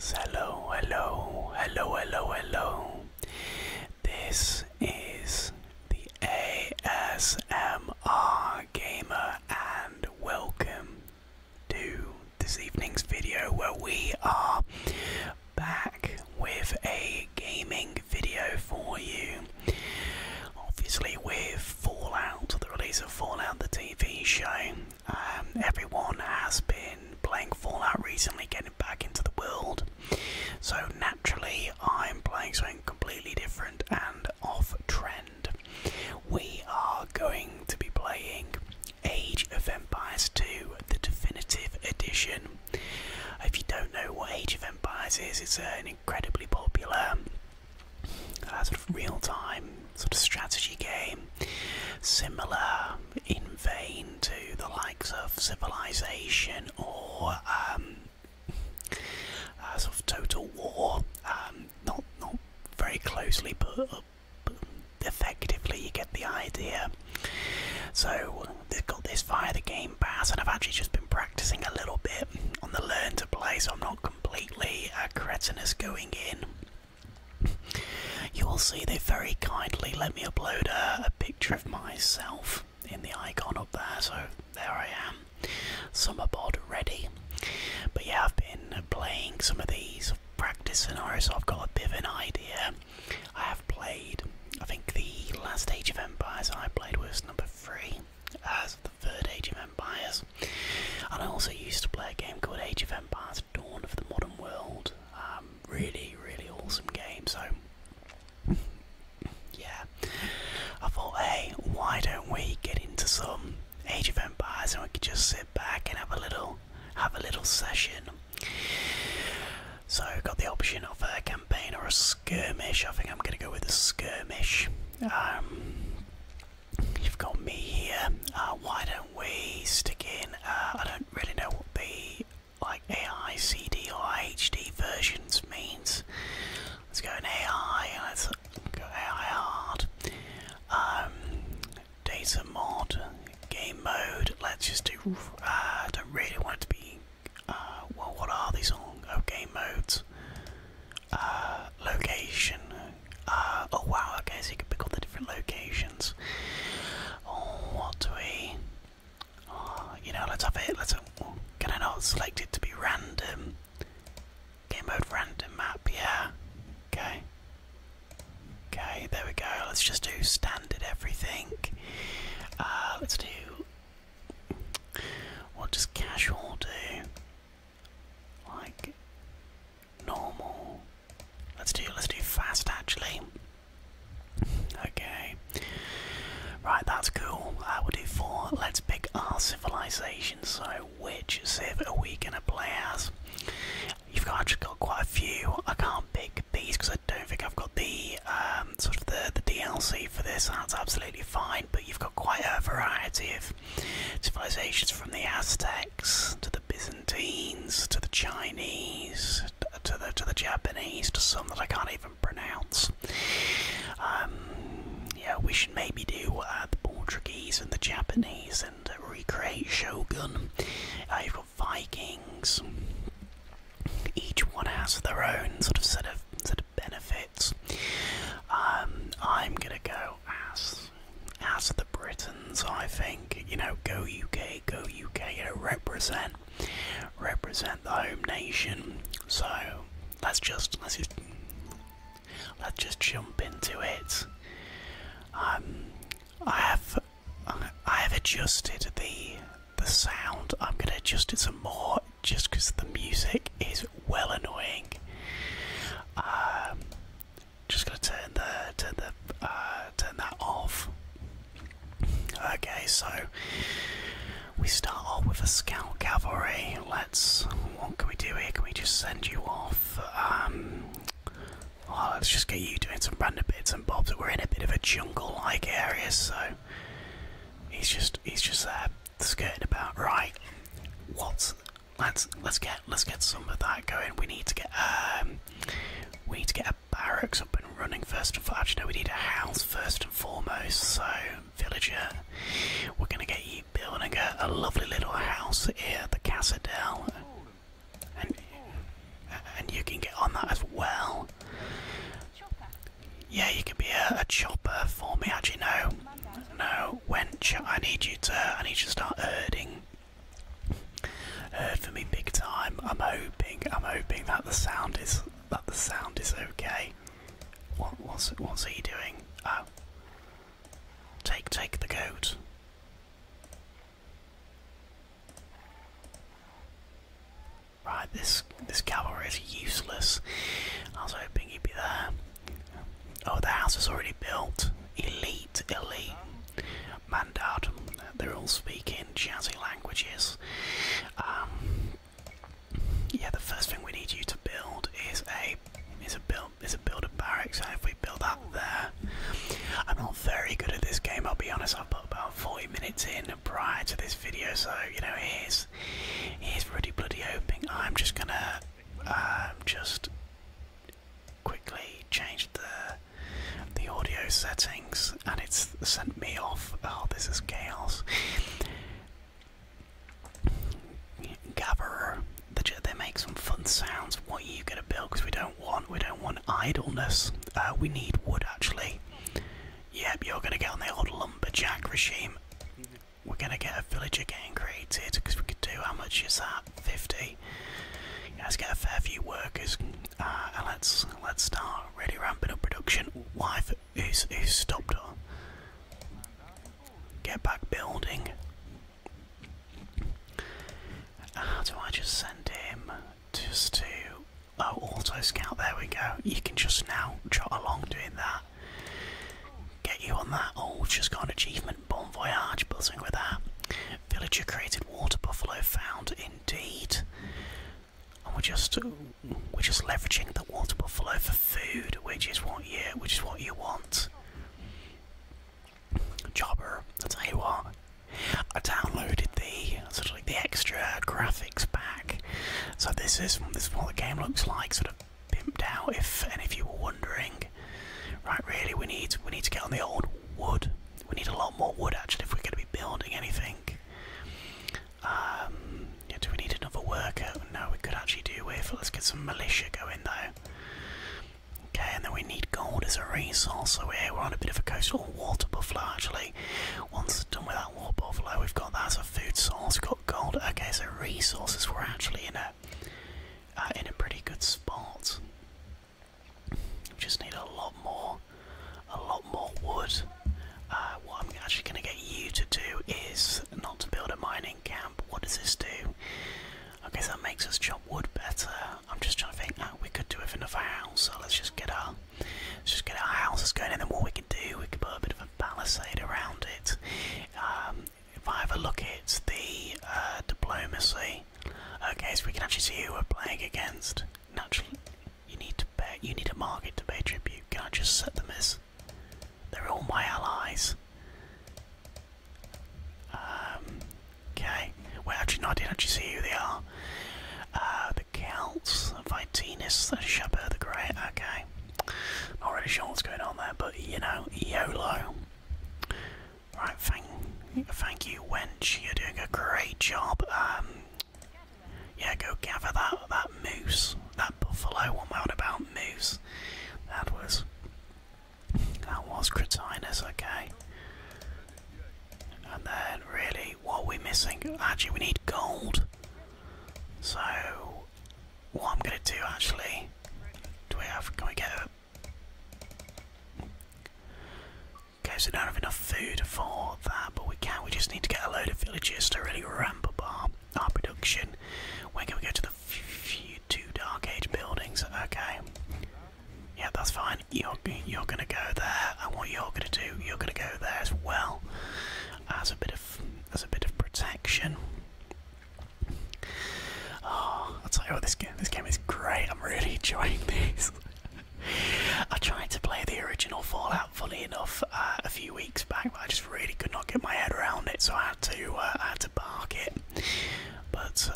Hello, hello, hello, hello, hello. This is the ASMR Gamer, and welcome to this evening's video where we are back with a gaming video for you. Obviously, with Fallout, the release of Fallout, the TV show, um, everyone has been playing Fallout recently, getting back into the world, so naturally I'm playing something completely different and off trend. We are going to be playing Age of Empires 2, the definitive edition. If you don't know what Age of Empires is, it's an incredibly popular uh, sort of real-time sort of strategy game, similar in vain to the likes of civilization or um, uh, sort of total war. Um, not not very closely, but, effectively you get the idea. So they've got this via the Game Pass, and I've actually just been practicing a little bit on the Learn to Play, so I'm not completely a uh, cretinous going in. You will see they have very kindly let me upload a, picture of myself in the icon up there, so there I am, summer bod ready. But yeah, I've been playing some of these practice scenarios, so I've got a bit of an idea. I have played, I think the last Age of Empires I played was number three, as the third Age of Empires, and I also used to play a game called Age of Empires Dawn of the Modern World. Um, really, really awesome game. So, yeah, I thought, hey, why don't we get into some Age of Empires and we could just sit back and have a little, have a little session. So, got the option of a campaign or a skirmish. I think I'm going to go with a skirmish. Um, you've got me here. Uh, why don't we stick in. I don't really know what the like A I C D or HD versions means. Let's go in AI. Let's go AI hard. Um, data mod, game mode. Let's just do. Uh, I don't really want it to be. Uh, well, what are these all? Oh, game modes. Uh, location. oh wow. I guess you can pick all the different locations. Oh, what do we? Oh, you know, let's have it. Let's. Have, oh, can I not select it to be random? Game mode random map. Yeah. Okay. Okay. There we go. Let's just do standard everything. Uh, let's do. What does casual do? Like normal. Let's do let's do fast actually. Okay. Right, that's cool. Uh, we'll do four. Let's pick our civilization. So, which civ are we gonna play as? You've got, actually got quite a few. I can't pick these because I don't think I've got the um, sort of the, the DLC for this. That's absolutely fine. But you've got quite a variety of civilizations from the Aztec to the Byzantines, to the Chinese, to the to the Japanese, to some that I can't even pronounce. Um, yeah, we should maybe do uh, the Portuguese and the Japanese and uh, recreate Shogun. i uh, have got Vikings. Each one has their own sort of set of set of benefits. Um, I'm gonna go as as the Britons, I think. You know, go UK, go UK, you represent represent the home nation. So let's just let's just let's just jump into it. Um I have I have adjusted the the sound. I'm gonna adjust it some more just because the music is well annoying. Um just gonna turn the turn the uh, turn that off. Okay, so we start off with a scout cavalry. Let's what can we do here? Can we just send you off? Um, oh, let's just get you doing some random bits and bobs. We're in a bit of a jungle-like area, so he's just he's just there skirting about. Right, what? Let's let's get let's get some of that going. We need to get um we need to get a barracks up and running first and actually no we need a house first and foremost. So villager, we're gonna get you building a, a lovely little house here, the Casadel. And and you can get on that as well. Yeah, you can be a, a chopper for me. Actually, no, no. Wench, I need you to. I need you to start herding heard uh, from me big time. I'm hoping, I'm hoping that the sound is that the sound is okay. what's he doing? Oh. take take the goat. Right, this this cavalry is useless. I was hoping he'd be there. Oh, the house is already built. Elite elite, Mandad. They're all speaking jazzy languages. Um, yeah, the first thing we need you to build is a is a build is a build of barracks. if we build that there, I'm not very good at this game. I'll be honest. I've put about 40 minutes in prior to this video, so you know here's here's really bloody hoping. I'm just gonna um, just quickly changed the the audio settings and it's sent me off. Oh, this is chaos. Gatherer, they, make some fun sounds. What are you gonna build? Because we don't want we don't want idleness. Uh, we need wood actually. Yep, you're gonna get on the old lumberjack regime. We're gonna get a villager getting created because we could do. How much is that? 50. Yeah, let's get a fair few workers uh, let's let's start really ramping up production. Wife, who's who's stopped her? Get back building. How do I just send him just to oh auto scout? There we go. You can just now trot along doing that. Get you on that. Oh, just got achievement. Bon voyage, buzzing with that. Villager created water buffalo found indeed. And we're just we're just leveraging the water buffalo for food, which is what you which is what you want. Jobber, I tell you what, I downloaded the sort of the extra graphics pack. So this is this is what the game looks like, sort of pimped out. If and if you were wondering, right? Really, we need we need to get on the old wood. We need a lot more wood actually if we're going to be building anything. Um, do we need another worker? No, we could actually do with. Let's get some militia going though. Okay, and then we need gold as a resource. So here we're on a bit of a coastal oh, water buffalo actually. Once done with that water buffalo, we've got that as a food source. We've got gold. Okay, so resources. We're actually in a uh, in a pretty good spot. We just need a lot more, a lot more wood. Uh, what I'm actually going to get you to do is not to build a mining camp. What does this do? Okay, so that makes us chop wood better. I'm just trying to think. Oh, we could do with another house. So let's just get our, let's just get our houses going, and then what we can do, we can put a bit of a palisade around it. Um, if I have a look at the uh, diplomacy, Okay, so we can actually see who we're playing against. Naturally, you need to pay, you need a market to pay tribute. Can I just set them as? They're all my allies. Um, okay. Well, actually, no, I didn't actually see who they are. Uh, the Celts, Vitinus, the Shepard the Great. Okay. Not really sure what's going on there, but you know, YOLO. Right, thank, thank you, wench. You're doing a great job. Um, yeah, go gather that that moose, that buffalo. What am I about moose? That was that was Cretinus. Okay. And then, really, what are we missing? Actually, we need gold. So, what I'm gonna do actually? Do we have? Can we get a Okay, so we don't have enough food for that, but we can. We just need to get a load of villagers to really ramp up our, production. Where can we go to the few two Dark Age buildings? Okay. Yeah, that's fine. You're, you're going to go there, and what you're going to do, you're going to go there as well, as a bit of as a bit of protection. Oh, I'll tell you what, this game, this game is great. I'm really enjoying this. I tried to play the original Fallout, funny enough, uh, a few weeks back, but I just really could not get my head around it, so I had to, uh, I had to bark it. But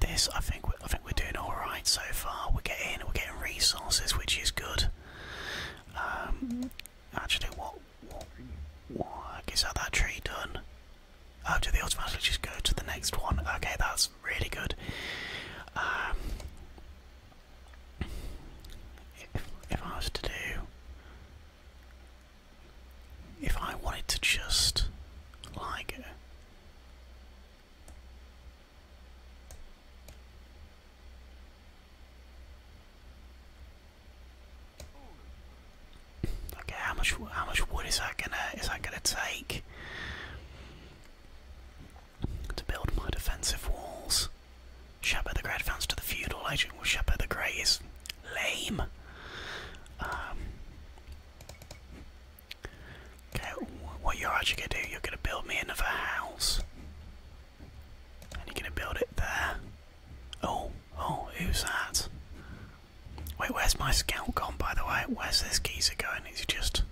this, I think, I think we're doing all right so far. We're getting, we're getting resources, which is good. Um, actually, what, what, what is that? That tree done? Oh, do they automatically just go to the next one? Okay, that's really good. Um, if, I was to do, if I wanted to just like. Okay, uh, how much how much wood is that gonna is that gonna take? to build my defensive walls. Shepard the Great advanced to the feudal agent. Well, Shepard the Great is lame. Um, okay, what you're actually going to do, you're going to build me another house. And you're going to build it there. Oh, oh, who's that? Wait, where's my scout gone, by the way? Where's this geezer going? He's just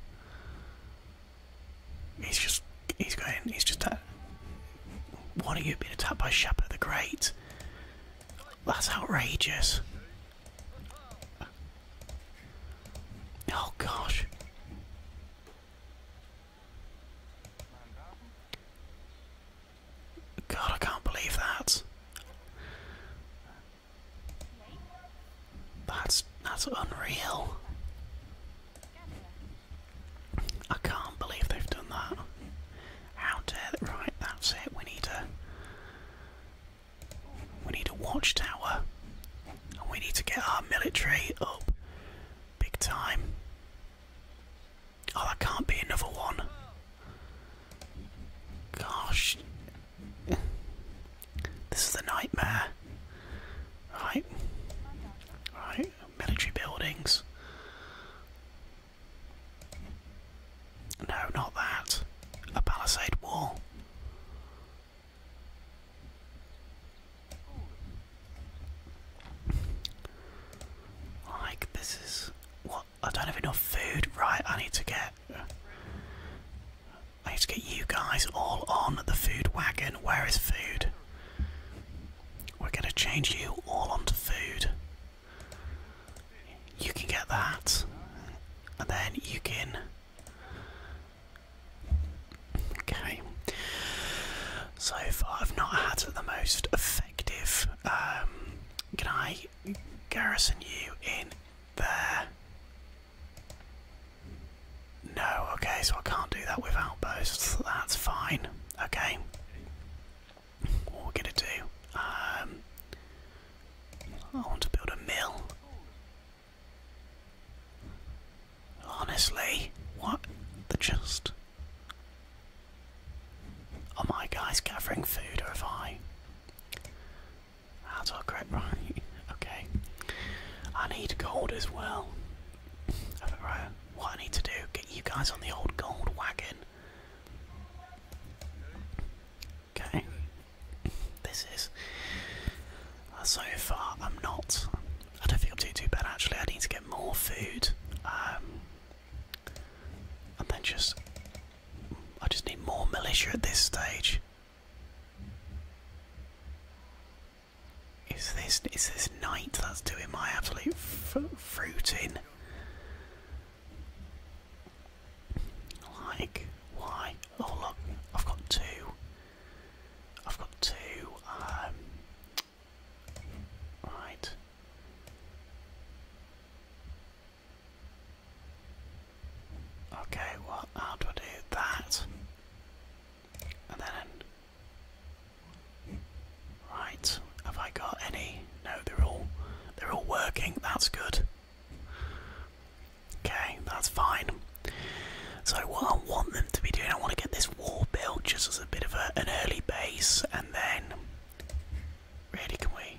He's just he's going he's just at What are you being attacked by Shepard the Great? That's outrageous. Oh gosh. God, I can't believe that. That's that's unreal. I can't believe they've done that. How dare they? Right, that's it. We need a we need a watchtower. And we need to get our military up big time. Oh, that can't be another one. Gosh, this is the nightmare. Right. Right. Military buildings. No, not that. A palisade wall. Like, this is. What? I don't have enough food. Right, I need to get. I need to get you guys all on the food wagon. Where is food? We're going to change you all onto food. You can get that. And then you can. Okay. So far, I've not had the most effective. Um, can I garrison you in there? No, okay, so I can't do that without outbursts. That's fine. Okay. What we gonna do? Um, I want to build a mill. Honestly, what the just? Are my guys gathering food, or have I? That's all correct, right? okay. I need gold as well. Right, what I need to do, get you guys on the old gold wagon. Okay. This is. Uh, so far, I'm not. I don't think I'm doing too bad actually. I need to get more food. Um, and then just. I just need more militia at this stage. Is this is this night that's doing my absolute fruit Like why? Oh look, I've got two. I've got two. Um, right. Okay, well, how do I do that? And then, right? Have I got any? No, they're all they're all working. That's good. Okay, that's fine. So what I want them to be doing, I want to get this wall built just as a bit of an early base, and then really, can we?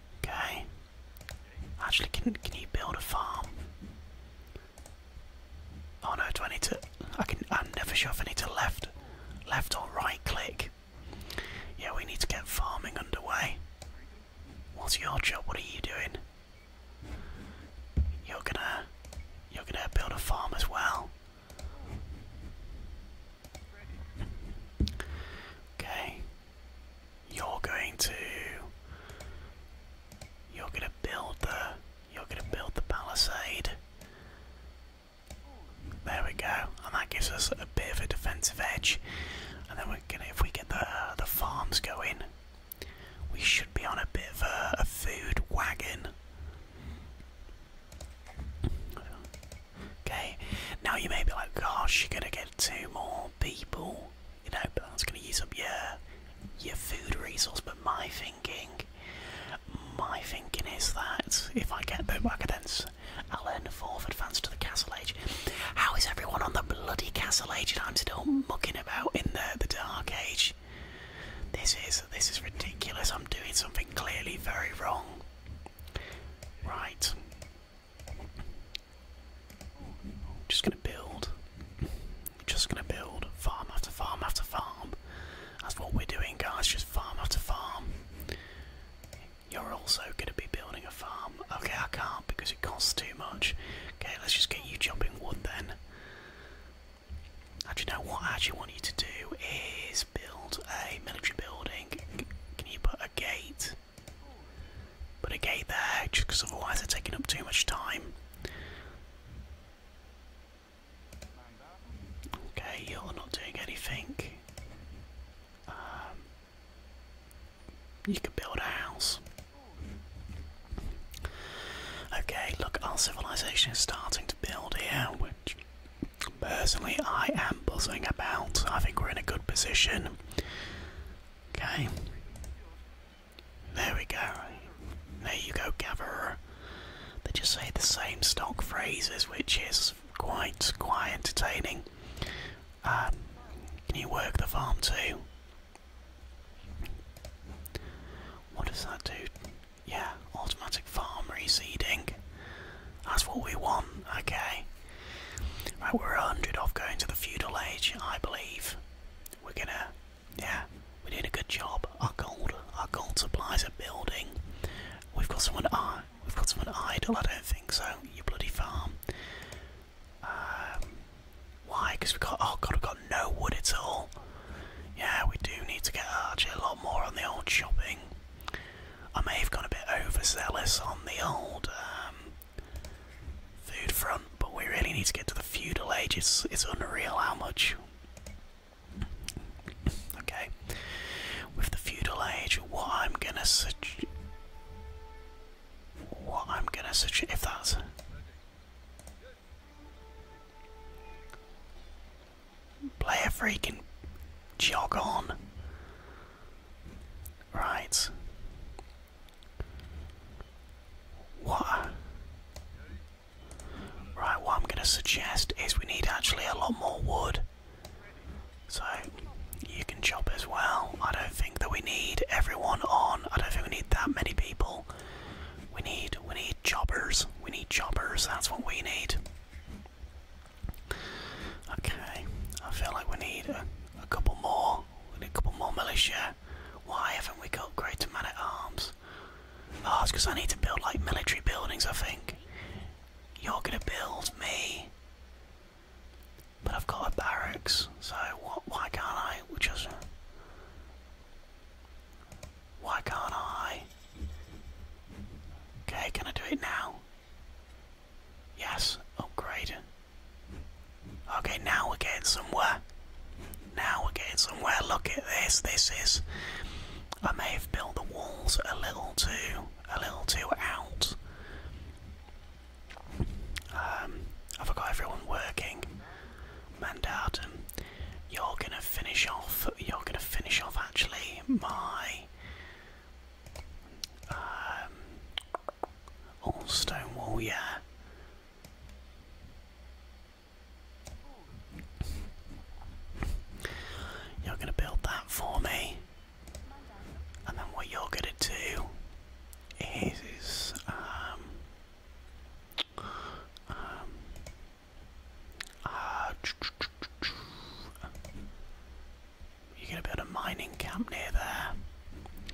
Okay. Actually, can can you build a farm? Oh no, do I need to? I can. I'm never sure if I need to left, left or right click. Yeah, we need to get farming underway. What's your job? What are you doing? You're gonna, you're gonna build a farm as well. Okay. You're going to You're gonna build the you're gonna build the palisade. There we go, and that gives us a bit of a defensive edge. And then we're gonna if we get the the farms going, we should be on a bit of a, food wagon. Okay, now you may be like, gosh, you're gonna get two more people you know, that's going to use up your your food resource. But my thinking, my thinking is that if I get the Wagadens, I'll earn fourth advance to the Castle Age. How is everyone on the bloody Castle Age and I'm still mucking about in the the Dark Age? This is this is ridiculous. I'm doing something clearly very wrong. Right, just gonna build. Just gonna build farm after farm after farm. That's what we're doing, guys. Just farm after farm. You're also gonna be building a farm. Okay, I can't because it costs too much. Okay, let's just get you chopping wood then. Actually, you know what I actually want you to do is build a military building. Can you put a gate? Put a there, just because otherwise they're taking up too much time. Okay, you're not doing anything. Um, you could build a house. Okay, look, our civilization is starting to build here, which personally I am buzzing about. I think we're in a good position. Okay. There we go. There you go, Gatherer. They just say the same stock phrases, which is quite quite entertaining. Um, can you work the farm too? What does that do? Yeah, automatic farm reseeding. That's what we want. Okay. Right, we're a hundred off going to the feudal age, I believe. We're gonna, yeah, we're doing a good job. Our gold, our gold supplies are building. We've got someone, uh, we've got someone idle. I don't think so. You bloody farm. Um, why? Because we have got, oh god, we've got no wood at all. Yeah, we do need to get Archie a lot more on the old shopping. I may have gone a bit overzealous on the old um, Third front, but we really need to get to the feudal age. It's, it's unreal how much. Okay. With the feudal age, what I'm gonna suggest. What I'm gonna suggest. If that's. Player freaking jog on. Right. What? Right, what I'm going to suggest is we need actually a lot more wood. So, you can chop as well. I don't think that we need everyone on. I don't think we need that many people. We need, we need choppers. We need choppers, that's what we need. Okay, I feel like we need a, a couple more. We need a couple more militia. Why haven't we got greater man at arms? Oh, it's because I need to build like military buildings, I think. You're gonna build me. But I've got a barracks, so what, why can't I just. Why can't I? Okay, can I do it now? Yes, Oh, great. Okay, now we're getting somewhere. Now we're getting somewhere. Look at this. This is. I may have built the walls a little too, a little too out. Um, i forgot everyone working. Mandatum, you're gonna finish off. You're gonna finish off actually my. Um, all stone wall, yeah. You're gonna build that for me, and then what you're gonna do is, um, um, uh, you're going to build a mining camp near there.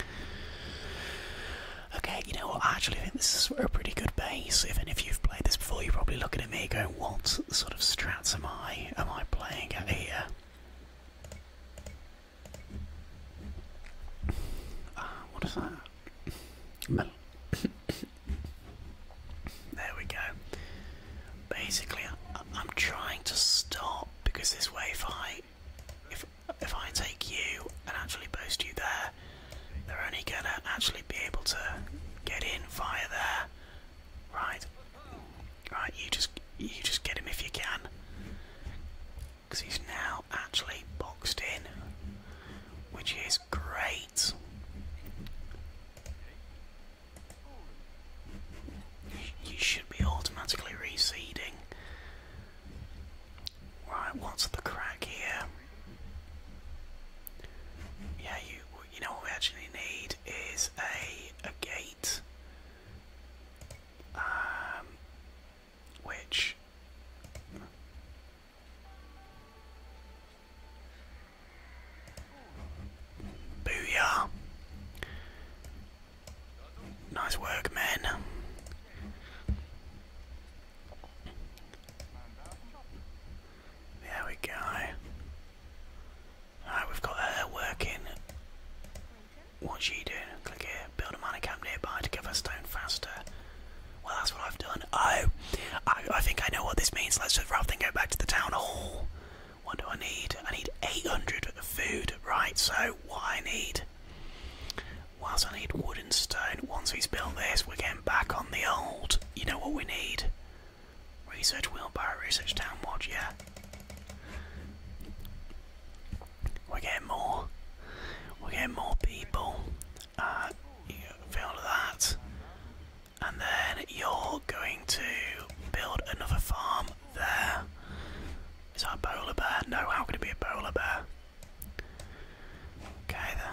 Okay, you know what? I actually think this is a pretty good base. Even if you've played this before, you're probably looking at me going, "What sort of strats am I? Am I playing at here?" Uh, what is that? there we go. Basically, I'm trying to stop because this wave height if if I take you and actually post you there, they're only gonna actually be able to get in via there. Right, right. You just you just get him if you can, because he's now actually boxed in, which is great. You should be automatically reseeding Right, what's the crack here? Yeah, you you know what we actually need is a a gate, um, which. Booyah! Nice work, man. There we go. Alright, we've got her working. What's she doing? Click here. Build a mining camp nearby to give her stone faster. Well, that's what I've done. Oh, I think I know what this means. Let's just rather than go back to the town hall. What do I need? I need 800 food. Right, so what I need Whilst I need wood and stone, once we've built this, we're getting back on the old. You know what we need? Research wheelbarrow, research town yeah. We're getting more. We're more people. Uh, you feel that. And then you're going to build another farm there. Is that a bowler bear? No, how could it be a bowler bear? Okay then.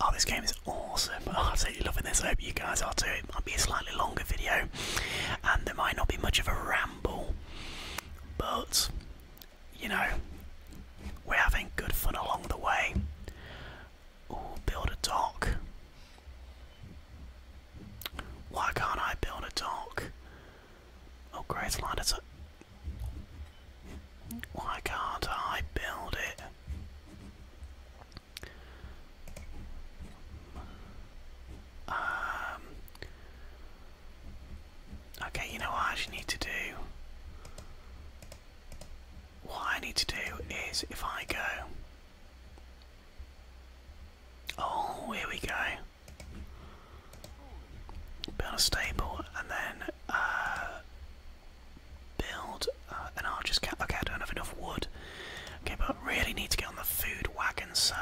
Oh, this game is awesome. I'm absolutely loving this. hope you guys are too. It might be a slightly longer video and there might not be much of a ramble, but you know, we're having good fun along the way. build a dock. Why can't I build a dock? Oh, great! it's a... Uh, why can't I build it? Um, okay, you know what I actually need to do? What I need to do is if I go. Oh, here we go. Build a stable and then uh, build uh, an archer's cap. Okay, I don't have enough wood. Okay, but I really need to get on the food wagon, so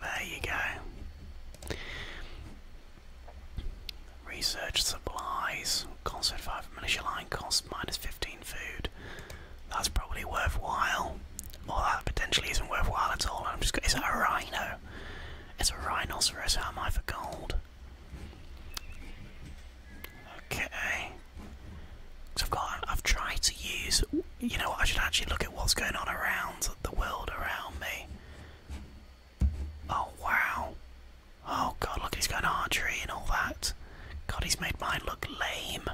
there you go. Research supplies. Cost 5 militia line cost minus 15 food. That's probably worthwhile. All that potentially isn't worthwhile at all. I'm just going. Is that a rhino? It's a rhinoceros. How am I for gold? Okay. So I've got. I've tried to use. You know what? I should actually look at what's going on around the world around me. Oh wow. Oh god, look, he's got an archery and all that. God, he's made mine look lame.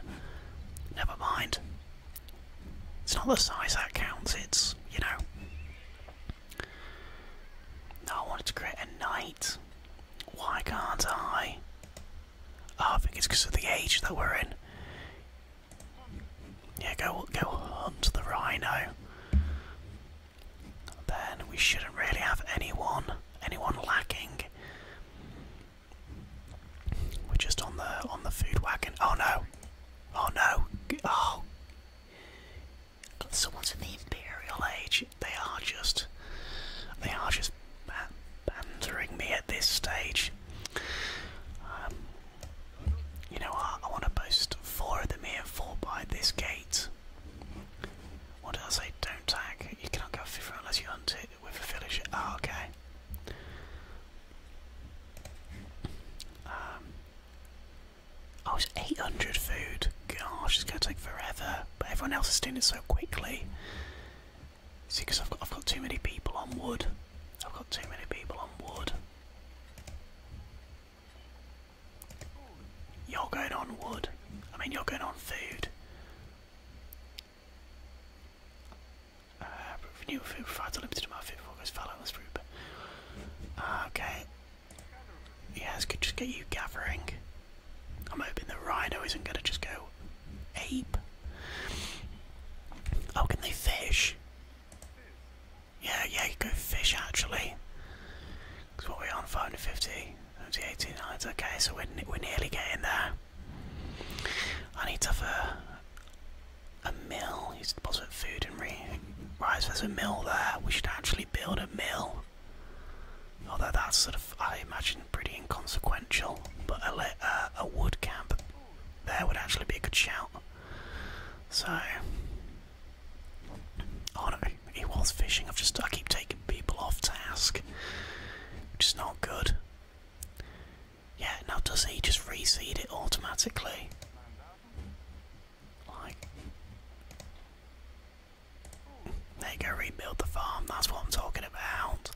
Never mind. It's not the size that counts, it's, you know. I wanted to create a knight. Why can't I? Oh, I think it's because of the age that we're in. Yeah, go go hunt the rhino. Then we shouldn't really have anyone anyone lacking. We're just on the on the food wagon. Oh no, Oh no! Oh, someone's in the Imperial Age. They are just, they are just bantering me at this stage. Um, you know, I, I want to post four of them here, four by this gate. What did I say? Don't tag. You cannot go fifth unless you hunt it with a villager. Ah, okay. Um, I was 800 food. Gosh, it's going to take forever. But everyone else is doing it so quickly. See, because I've got too many people on wood. I've got too many people on wood. You're going on wood. I mean, you're going on food. Uh, renew food provides unlimited amount of food before it goes foul on this group. Uh, okay. Yeah, let could just get you gathering. I'm hoping the rhino isn't going to just go ape. Oh, can they fish? Yeah, yeah, you go fish actually. Because what are we on? 550? 80, 89. Okay, so we're, we're nearly getting there. I need to have a a mill. He's deposit food and re right. So there's a mill there. We should actually build a mill. Although that's sort of, I imagine, pretty inconsequential. But a uh, a wood camp there would actually be a good shout. So, oh no, he was fishing. I've just I keep taking people off task, which is not good. Yeah, now does he just reseed it automatically? Like, go, rebuild the farm. That's what I'm talking about.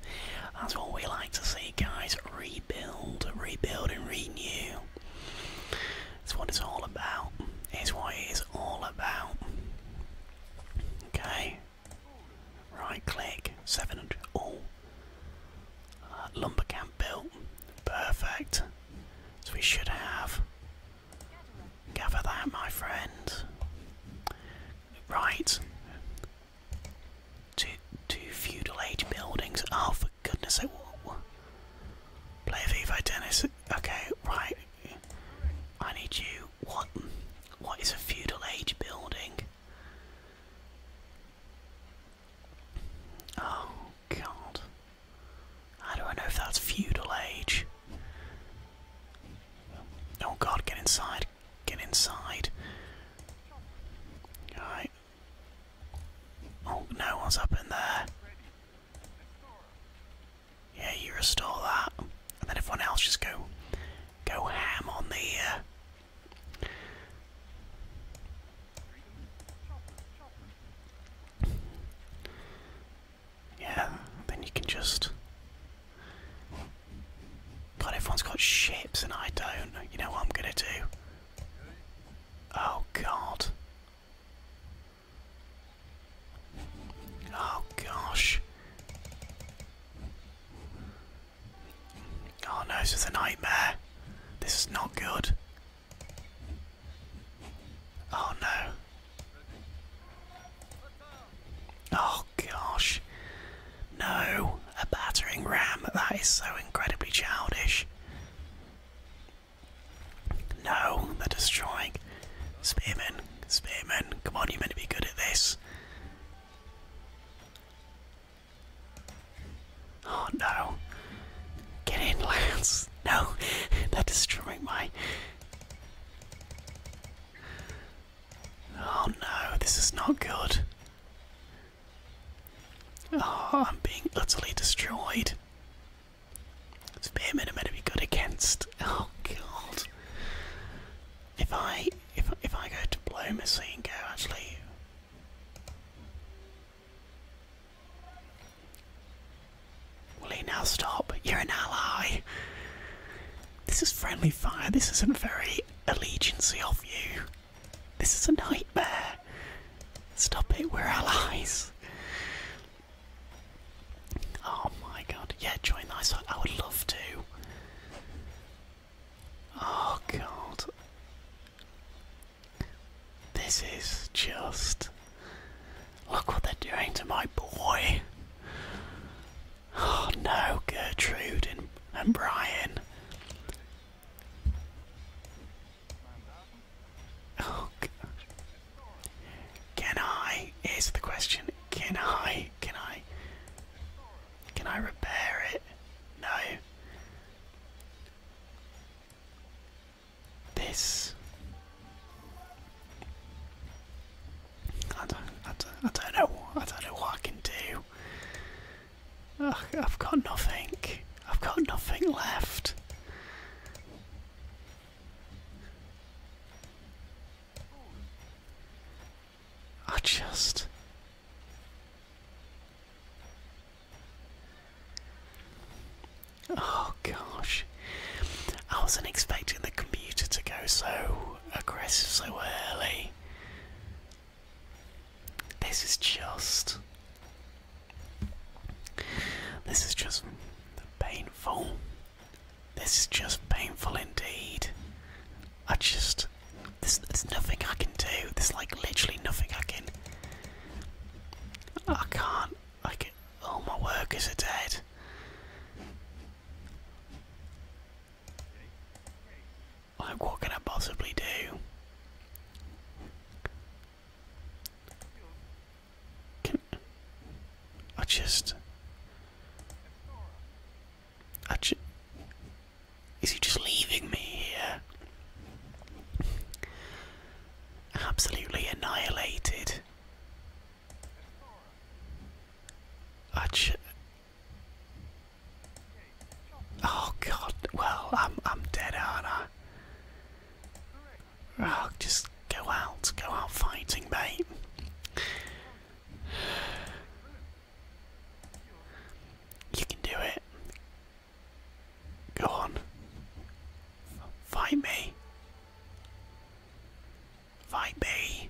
That's what we like to see, guys. Rebuild, rebuild, and renew. It's what it's all about. It's what it is all about. Okay. Right click. 700. Oh. Uh, lumber camp built. Perfect. So we should have. Gather that, my friend. Right. Two, two feudal age buildings. Oh, for goodness sake. Play Evi, Dennis. Okay, right. I need you. What? What is a feudal age building? Oh god. How do I know if that's feudal age? Oh god, get inside. Get inside. Alright. Oh, no one's up in there. Yeah, you restore that. And then everyone else just go go ham on the uh, yeah, then you can just. God, everyone's got ships and I don't. You know what I'm gonna do? Oh, God. Oh, gosh. Oh no, this is a nightmare. This is not good. Oh no. Oh gosh. No, a battering ram. That is so incredibly childish. No, they're destroying. spearmen. Spearmen, come on, you're be good at this. Oh no. Get in, Lance. No, they're destroying my. Oh no, this is not good. Oh, I'm being utterly destroyed. Spearmen are meant to be good against. Oh god. If I if if I go diplomacy and go actually Will he now stop? You're an ally. This is friendly fire. This isn't very allegiancey of you. This is a nightmare. Stop it, we're allies. Oh my god. Yeah, join the ISO. I would love to. Oh god. This is just. Look what they're doing to my boy. Oh no, Gertrude and, and Brian. Oh, Can I? Here's the question. Can I? Can I? Can I repair it? No. This. I don't, I don't, I don't know. I don't know what I can do. I've got nothing. I've got nothing left. I just Oh gosh. I wasn't expecting the computer to go so aggressive so early. This is just. This is just painful. This is just painful indeed. I just. There's, there's nothing I can do. There's like literally nothing I can. I can't. I can, all my workers are dead. Like, what can I possibly do? Can I just? I, just. Is he just leaving me here? Absolutely annihilated. Ach oh god, well, I'm, I'm dead, aren't I? Oh, just go out, go out fighting, mate. You can do it. Go on. Find me. Find me.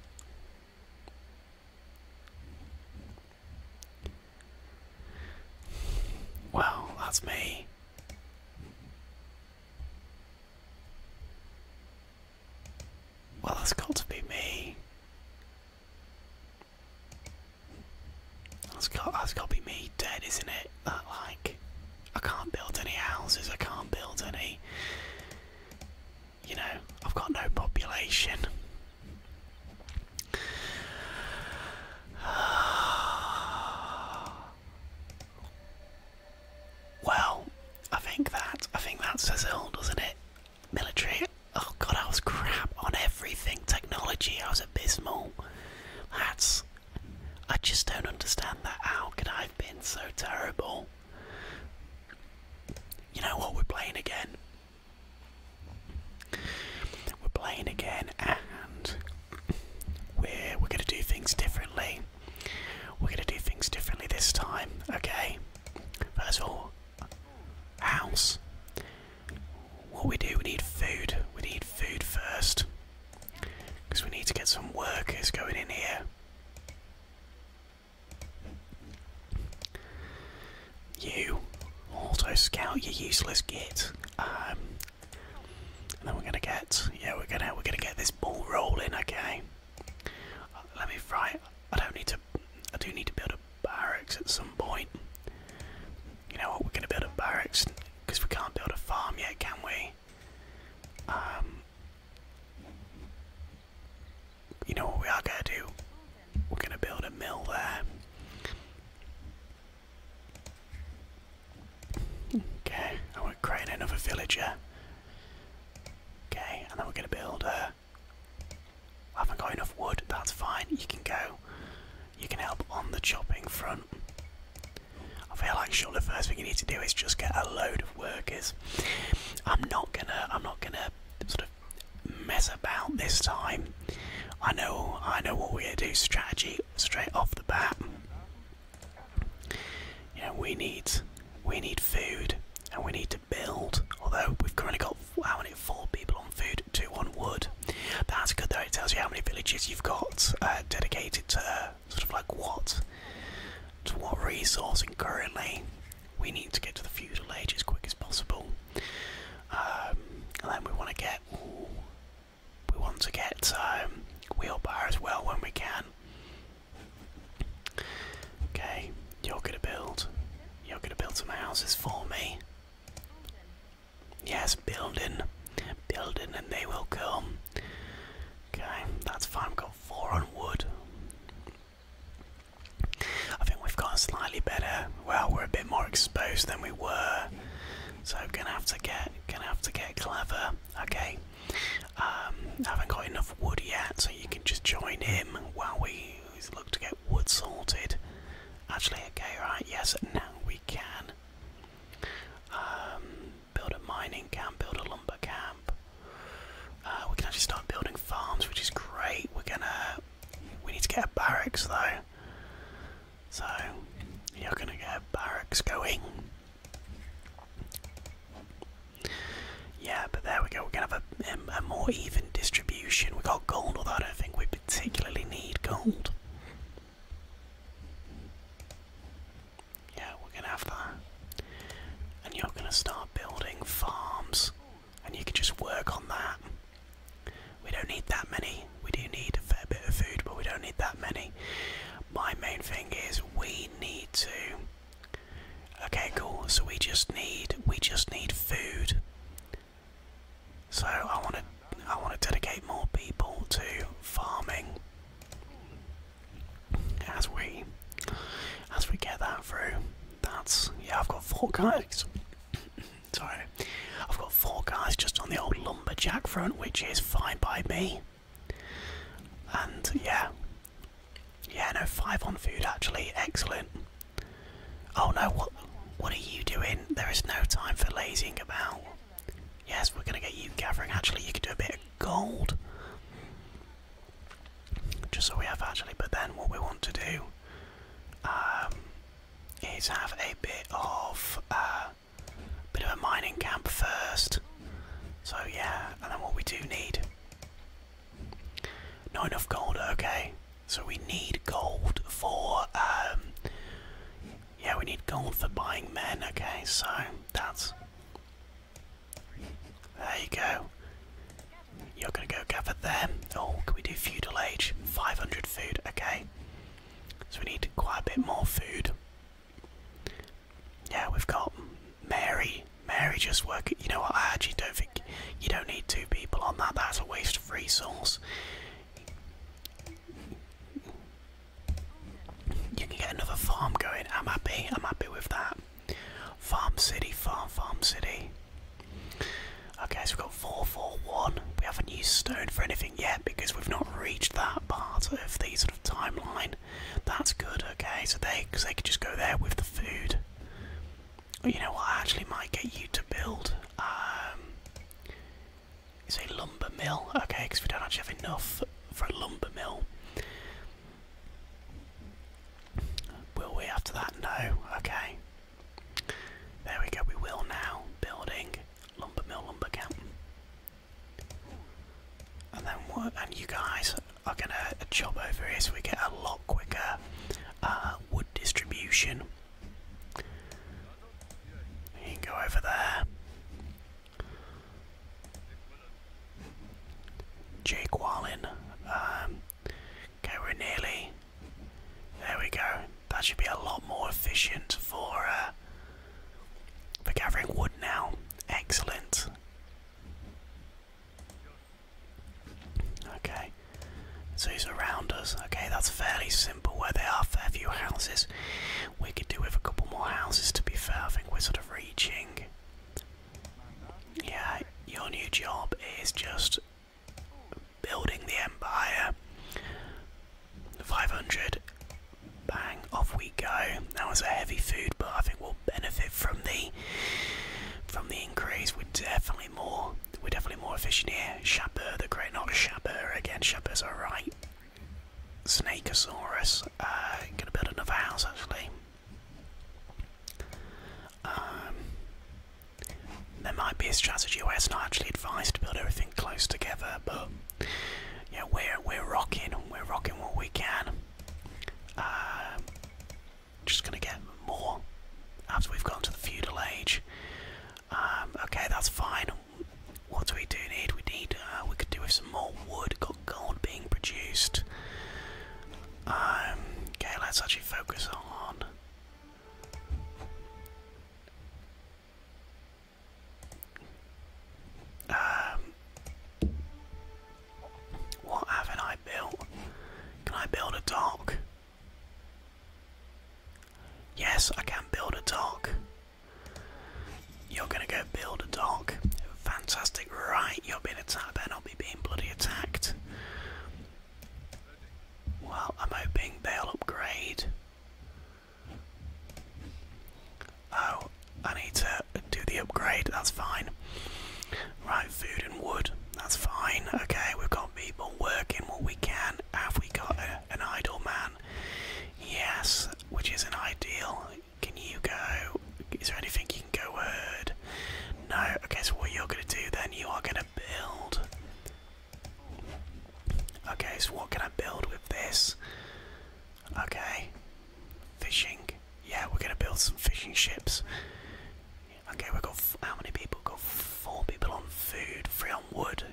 Well, that's me. Well, that's got to be me. That's got that's got to be me dead, isn't it? That like I can't build any houses. I can't build any. You know, I've got no population. Well, I think that I think that says doesn't it? Military. Oh god, I was crap on everything. Technology, I was abysmal. That's. I just don't understand that. How could I have been so terrible? You know what? We're playing again. We're playing again, and we're we're gonna do things differently. We're gonna do things differently this time, okay? First of all, house what we do, we need food. We need food first. Because we need to get some workers going in here. You, auto scout, you useless git. Um, and then we're gonna get, yeah, we're gonna we're gonna get this ball rolling. Okay. let me fry. I don't need to. I do need to build a barracks at some point. You know what, we're gonna build a barracks because we can't build a farm yet, can we? Um, you know what we are gonna do? We're gonna build a mill there. Okay, and we're creating another villager. Okay, and then we're gonna build a. I haven't got enough wood, that's fine, you can go you can help on the chopping front. I feel like sure the first thing you need to do is just get a load of workers. I'm not gonna I'm not gonna sort of mess about this time. I know I know what we're gonna do strategy straight off the bat. Yeah, we need we need food and we need to build, although we've currently got how many four people on food, two on wood. That's good though, it tells you how many villages you've got uh, dedicated to uh, sort of like what, to what resource, and currently we need to get to the feudal age as quick as possible. Um, and then we want to get, ooh, we want to get um, wheelbar as well when we can. Okay, you're gonna build, you're gonna build some houses for me. Yes, building. Building and they will come. Okay, that's fine. We've got four on wood. I think we've got slightly better. Well, we're a bit more exposed than we were, so gonna have to get gonna have to get clever. Okay, um, haven't got enough wood yet, so you can just join him while we look to get wood sorted. Actually, okay, right, yes. Now we we can. Um, build a mining camp, build a lumber camp. Uh, we can actually start building farms, which is great. We're gonna. We need to get barracks though. So, you're gonna get barracks going. Yeah, but there we go. We're gonna have a, um, a more even distribution. We got gold, although I don't think we particularly need gold. Yeah, we're gonna have that. And you're gonna start building farms, and you can just work on that. We don't need that many. We do need a fair bit of food, but we don't need that many. My main thing is we need to. Okay, cool. So we just need we just need food. So I want to I want to dedicate more people to farming as we as we get that through. That's yeah. I've got four guys. Sorry, I've got four guys just on the old lumberjack front, which is fine by me. And yeah, yeah. No, five on food actually. Excellent. Oh no, what? What? are you doing? There is no time for lazing about. Yes, we're gonna get you gathering. Actually, you can do a bit of gold. Just so we have actually, but then what we want to do um, is have a bit of a uh, bit of a mining camp first. So yeah, and then what we do need. Not enough gold. Okay, so we need gold for um, yeah, we need gold for buying men, okay, so that's there you go. You're gonna go gather them. Oh, can we do feudal age? 500 food, okay. So we need quite a bit more food. Yeah, we've got Mary. Mary just work. You know what? I actually don't think you don't need two people on that. That's a waste of resource. You can get another farm going. I'm happy. I'm happy with that. Farm city, farm, farm city. Okay, so we've got 441. We haven't used stone for anything yet because we've not reached that part of the sort of timeline. That's good, okay, so they, cause they could just go there with the food. You know what, I actually might get you to build. Um, it's a lumber mill. Okay, because we don't actually have enough for a lumber mill. Will we after that? No. Okay. There we go. We will now. Building lumber mill, lumber camp. And then what? And you guys are gonna job over here so we get a lot quicker uh, wood distribution go over there. Jake Wallin. Um, okay, we're nearly. There we go. That should be a lot more efficient for uh, for gathering wood now. Excellent. Okay. So he's around us. Okay, that's fairly simple where they are, fair few houses. We could do with a couple more houses to be fair. I think we're sort of reaching. Yeah, your new job is just building the empire. 500. Bang, off we go. That was a heavy food, but I think we'll benefit from the from the increase. We're definitely more we're definitely more efficient here. Shaper, the great, not Shaper again. Shaper's right. Snakeosaurus. Uh, gonna build another house actually. Um, there might be a strategy where it's not actually advised to build everything close together, but yeah, we're we're rocking. We're rocking what we can. Uh, just gonna get more after we've gone to the feudal age. Um, okay, that's fine. What do we do need? We need, uh, we could do with some more wood. Got gold being produced. Um, okay, let's actually focus on. Um, what haven't I built? Can I build a dock? Yes, I can build a dock. You're gonna go build a dock. Fantastic, right? You're being attacked. I will not be being bloody attacked. Well, I'm hoping they'll upgrade. Oh, I need to do the upgrade. That's fine. Right, food and wood. That's fine. Okay, we've got people working what we can. Have we got an idle man? Yes, which isn't ideal. Can you go? Is there anything you can go word? No. Okay, so what you're gonna do then? You are gonna build. Okay, so what can I build with this? Okay, fishing. Yeah, we're gonna build some fishing ships. Okay, we've got how many people? We've got four people on food, three on wood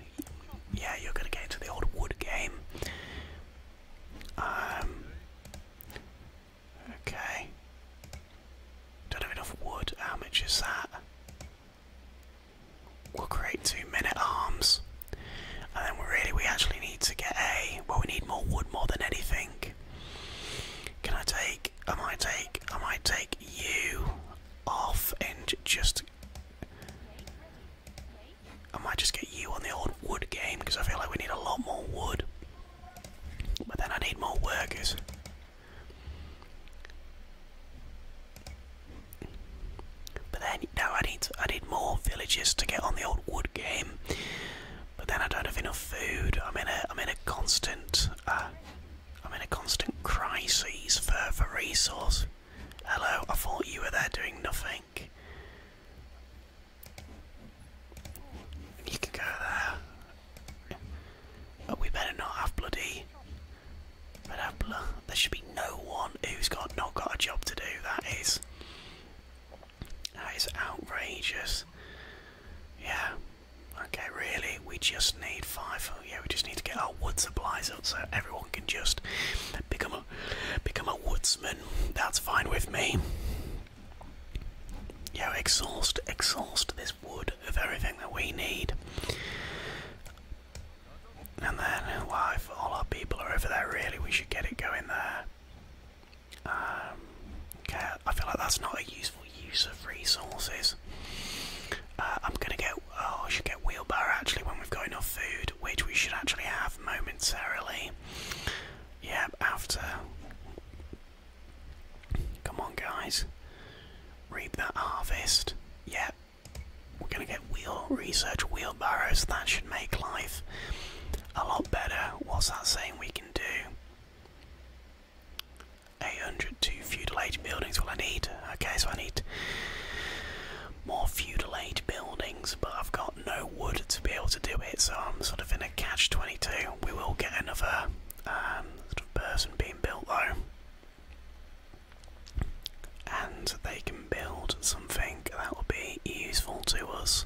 yeah, you're gonna get into the old wood game. Um, okay. Don't have enough wood. How much is that? We'll create two minute arms, and then we really we actually need to get a. Well, we need more wood more than anything. Can I take? I might take. I might take you off and just I might just get you on the old wood game because I feel like we need a lot more wood. But then I need more workers. But then now I need I need more villages to get on the old wood game. But then I don't have enough food. I'm in a I'm in a constant uh, I'm in a constant crisis for for resource. Hello, I thought you were there doing nothing. You can go there. Oh, we better not have bloody. Better have blo there should be no one who's got not got a job to do. That is. That is outrageous. Yeah. Okay, really, we just need five. Oh, yeah, we just need to get our wood supplies out, so everyone can just become a become a woodsman. That's fine with me. Yeah, exhaust, exhaust this wood of everything that we need. And then, well, if all our people are over there, really, we should get it going there. Um, okay, I feel like that's not a useful use of resources. Uh, I'm gonna get oh, I should get wheelbarrow actually when we've got enough food, which we should actually have momentarily. Yep, after. Come on, guys. Reap that harvest. Yep. We're gonna get wheel research wheelbarrows. That should make life a lot better. What's that saying we can do? 800 to feudal age buildings. Well, I need. Okay, so I need more feudal age buildings, but I've got no wood to be able to do it, so I'm sort of in a catch 22. We will get another um, sort of person being built though, and they can build something that will be useful to us.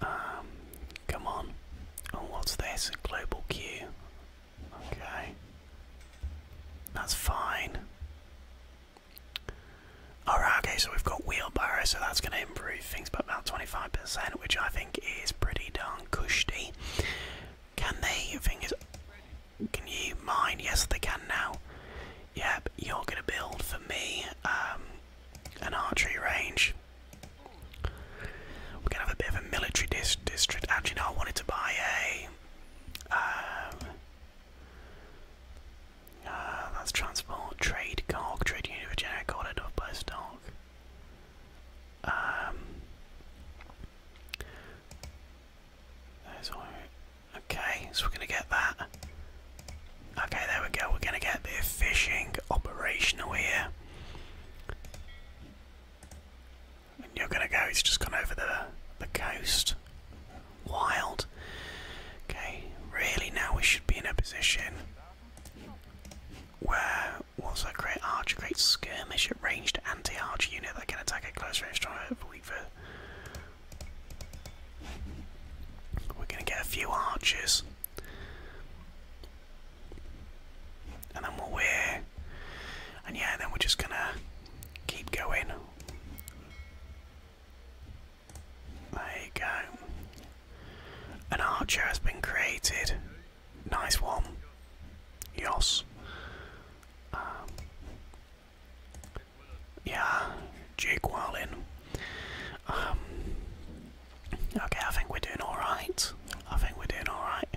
Um, come on. Oh, what's this? Global queue. Okay. That's fine. Alright, okay, so we've got wheelbarrow, so that's going to improve things by about 25%, which I think is pretty darn cushy. Can they? Thing can you mine? Yes, they can now. Yep, you're going to build for me um, an archery range. We're going to have a bit of a military dis district. Actually, no, I wanted to buy a um, uh, that's transport, trade, cog, trade union of generic order, not by stock. Okay, so we're gonna get that. Okay, there we go. We're gonna get the fishing operational here. And you're gonna go, It's just gone over the the coast. Wild. Okay, really now we should be in a position where what's a great archer, skirmish at ranged anti-archer unit that can attack at close range stronger weak for We're gonna get a few archers. And then we'll wear and yeah, then we're just gonna keep going. There you go. An archer has been created. Nice one. Yos. Um, yeah, Jake Wallin. Um, okay, I think we're doing alright. I think we're doing alright.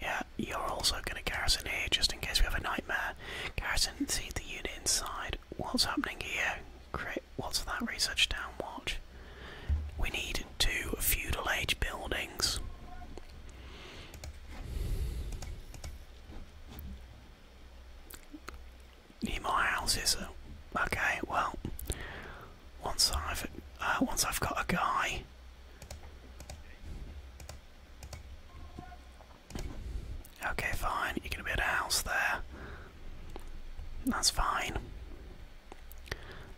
Yeah, you're also going to garrison here just in case we have a nightmare. Garrison, see the unit inside. What's happening here? Crit, what's that research down? Watch. We need two feudal age buildings. Need more houses. Okay, well, once I've uh, once I've got a guy Okay, fine. You're going to be at a house there. That's fine.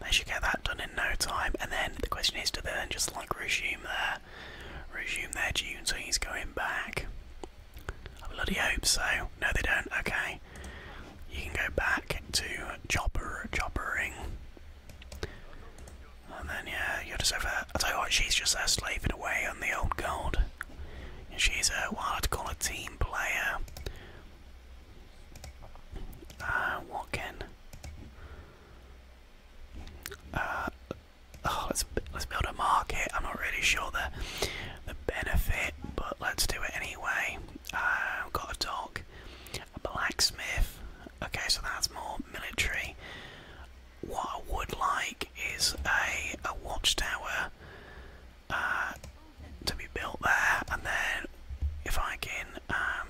They should get that done in no time. And then the question is, do they then just like resume there? resume their he's going back? I bloody hope so. No, they don't. Okay, you can go back to chopper choppering. And then yeah, you're just over I'll tell you what, she's just there uh, slaving away on the old gold. She's a, what I'd call a team player. Uh, Watkin. Uh, oh, let's let's build a market. I'm not really sure the the benefit, but let's do it anyway. I've uh, got a dog, a blacksmith. Okay, so that's more military. What I would like is a, a watchtower uh, to be built there, and then if I can, um,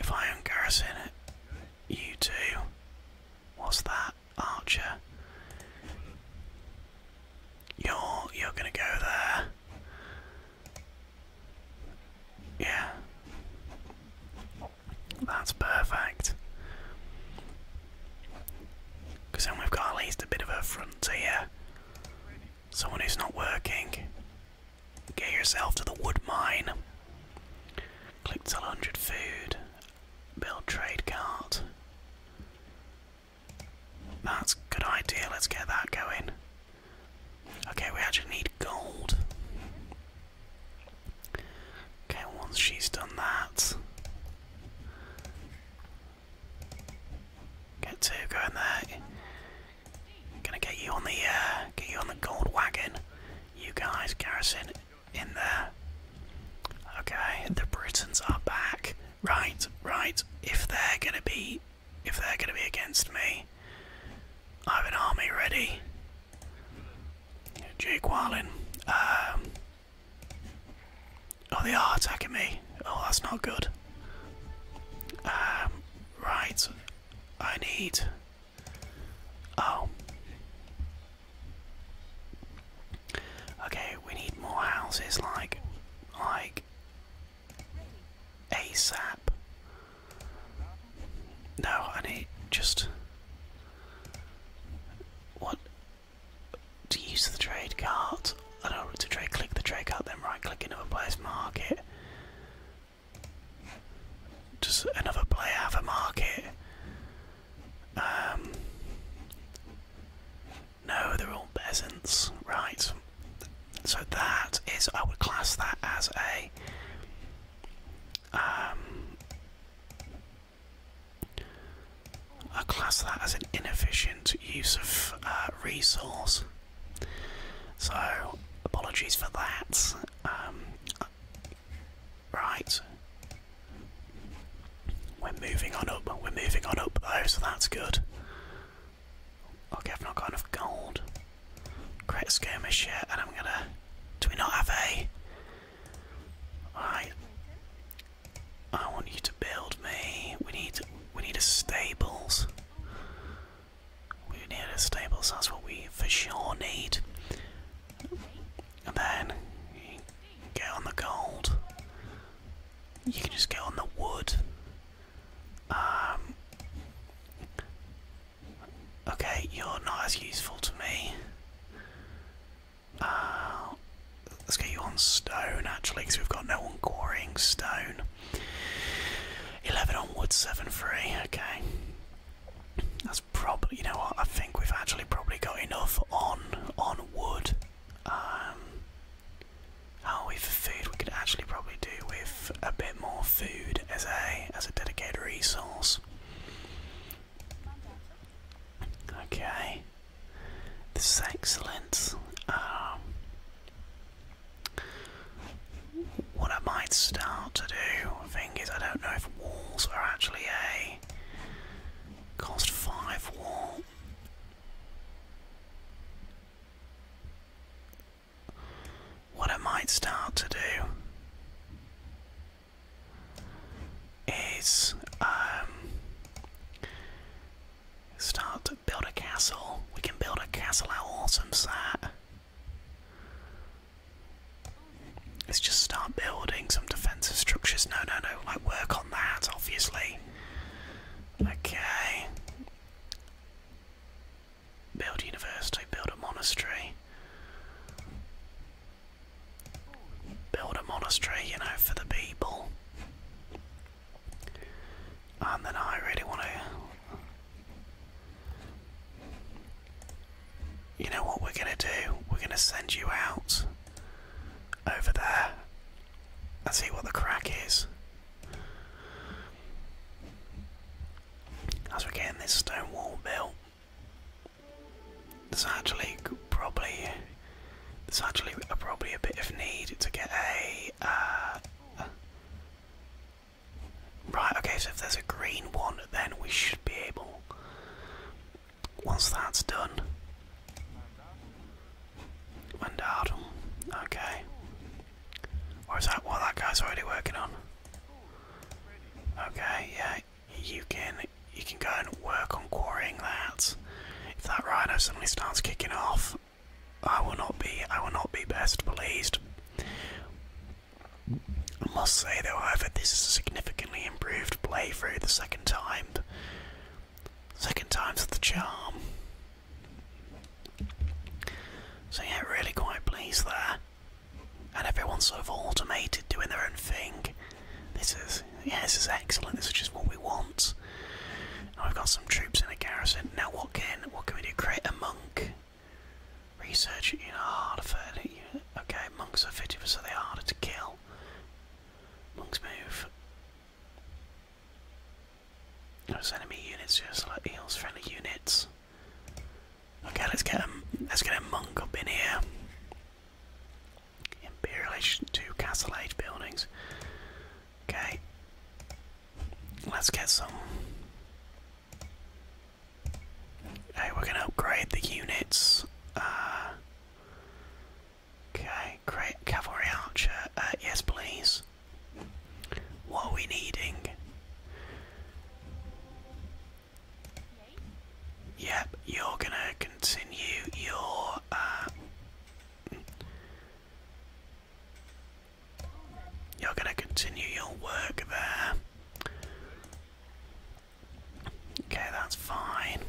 if I am garrison you two, what's that, Archer? You're you're gonna go there. Yeah. That's perfect. Because then we've got at least a bit of a front Someone who's not working. Get yourself to the wood mine. Click till 100 food. Build trade cart. That's a good idea. Let's get that going. Okay, we actually need gold. Okay, once she's done that. Get to go in there. Gonna get you on the uh, get you on the gold wagon. You guys, garrison, in there. Okay, the Britons are back. Right, right. If they're gonna be, if they're gonna be against me, I have an army ready. Jake Wallin. Um, oh, they are attacking me. Oh, that's not good. Um, right. I need. Oh. Okay, we need more houses like. Like. ASAP. No, I need just. What? To use the trade cart. I don't want to trade click the trade cart, then right click another player's market. Does another player have a market? Um, no, they're all peasants. Right. So that is. I would class that as a. Um, I class that as an inefficient use of uh, resource. So, apologies for that. Um, right. We're moving on up. We're moving on up though, so that's good. Okay, I've not got enough gold. Great skirmish here, and I'm gonna. Do we not have a? Alright. I want you to build me. We need. We need a stables. We need a stables. That's what we for sure need. And then you get on the gold. You can just get on the wood. Um, Okay, you're not as useful to me. Uh, let's get you on stone actually, because we've got no one quarrying stone. 11 on wood, 7 free. Okay. That's probably, you know what, I think we've actually probably got enough on on wood. Um, oh, with food, we could actually probably do with a bit more food as a as a dedicated resource. Okay, this is excellent. Um, what I might start to do, I is I don't know if walls are actually a cost five wall. What I might start to do is um, start to build a castle. We can build a castle, how awesome's that? Let's just start building some defensive structures. No, no, no, like work on that, obviously. Okay. Build a university, build a monastery. Build a monastery, you know, for the people. And then I really want to. You know what we're going to do? We're going to send you out over there and see what the crack is. As we're getting this stone wall built, there's actually probably there's actually a, probably a bit of need to get a. Uh, right. Okay. So if there's a green one, then we should be able. Once that's done. Wendardum. Okay. Or that what that guy's already working on? Okay, yeah, you can you can go and work on quarrying that. If that rhino suddenly starts kicking off, I will not be I will not be best pleased. I must say though, however, this is a significantly improved playthrough the second time. Second time's the charm. So yeah, really quite pleased there and everyone's sort of automated doing their own thing. This is yeah, is excellent. This is just what we want. Now we've got some troops in a garrison. Now what can what can we do? Create a monk. Research you know harder for okay, monks are fifty percent so they're harder to kill. Monks move. Those enemy units just like eels. friendly units. Okay, let's get Let's get a monk up in here. Imperial Age two Castle Age buildings. Okay, let's get some. Hey, we're gonna upgrade the units. Uh, okay, great cavalry archer. Uh, yes, please. What are we needing? Yep, you're gonna continue your uh, you're gonna continue your work there. Okay, that's fine.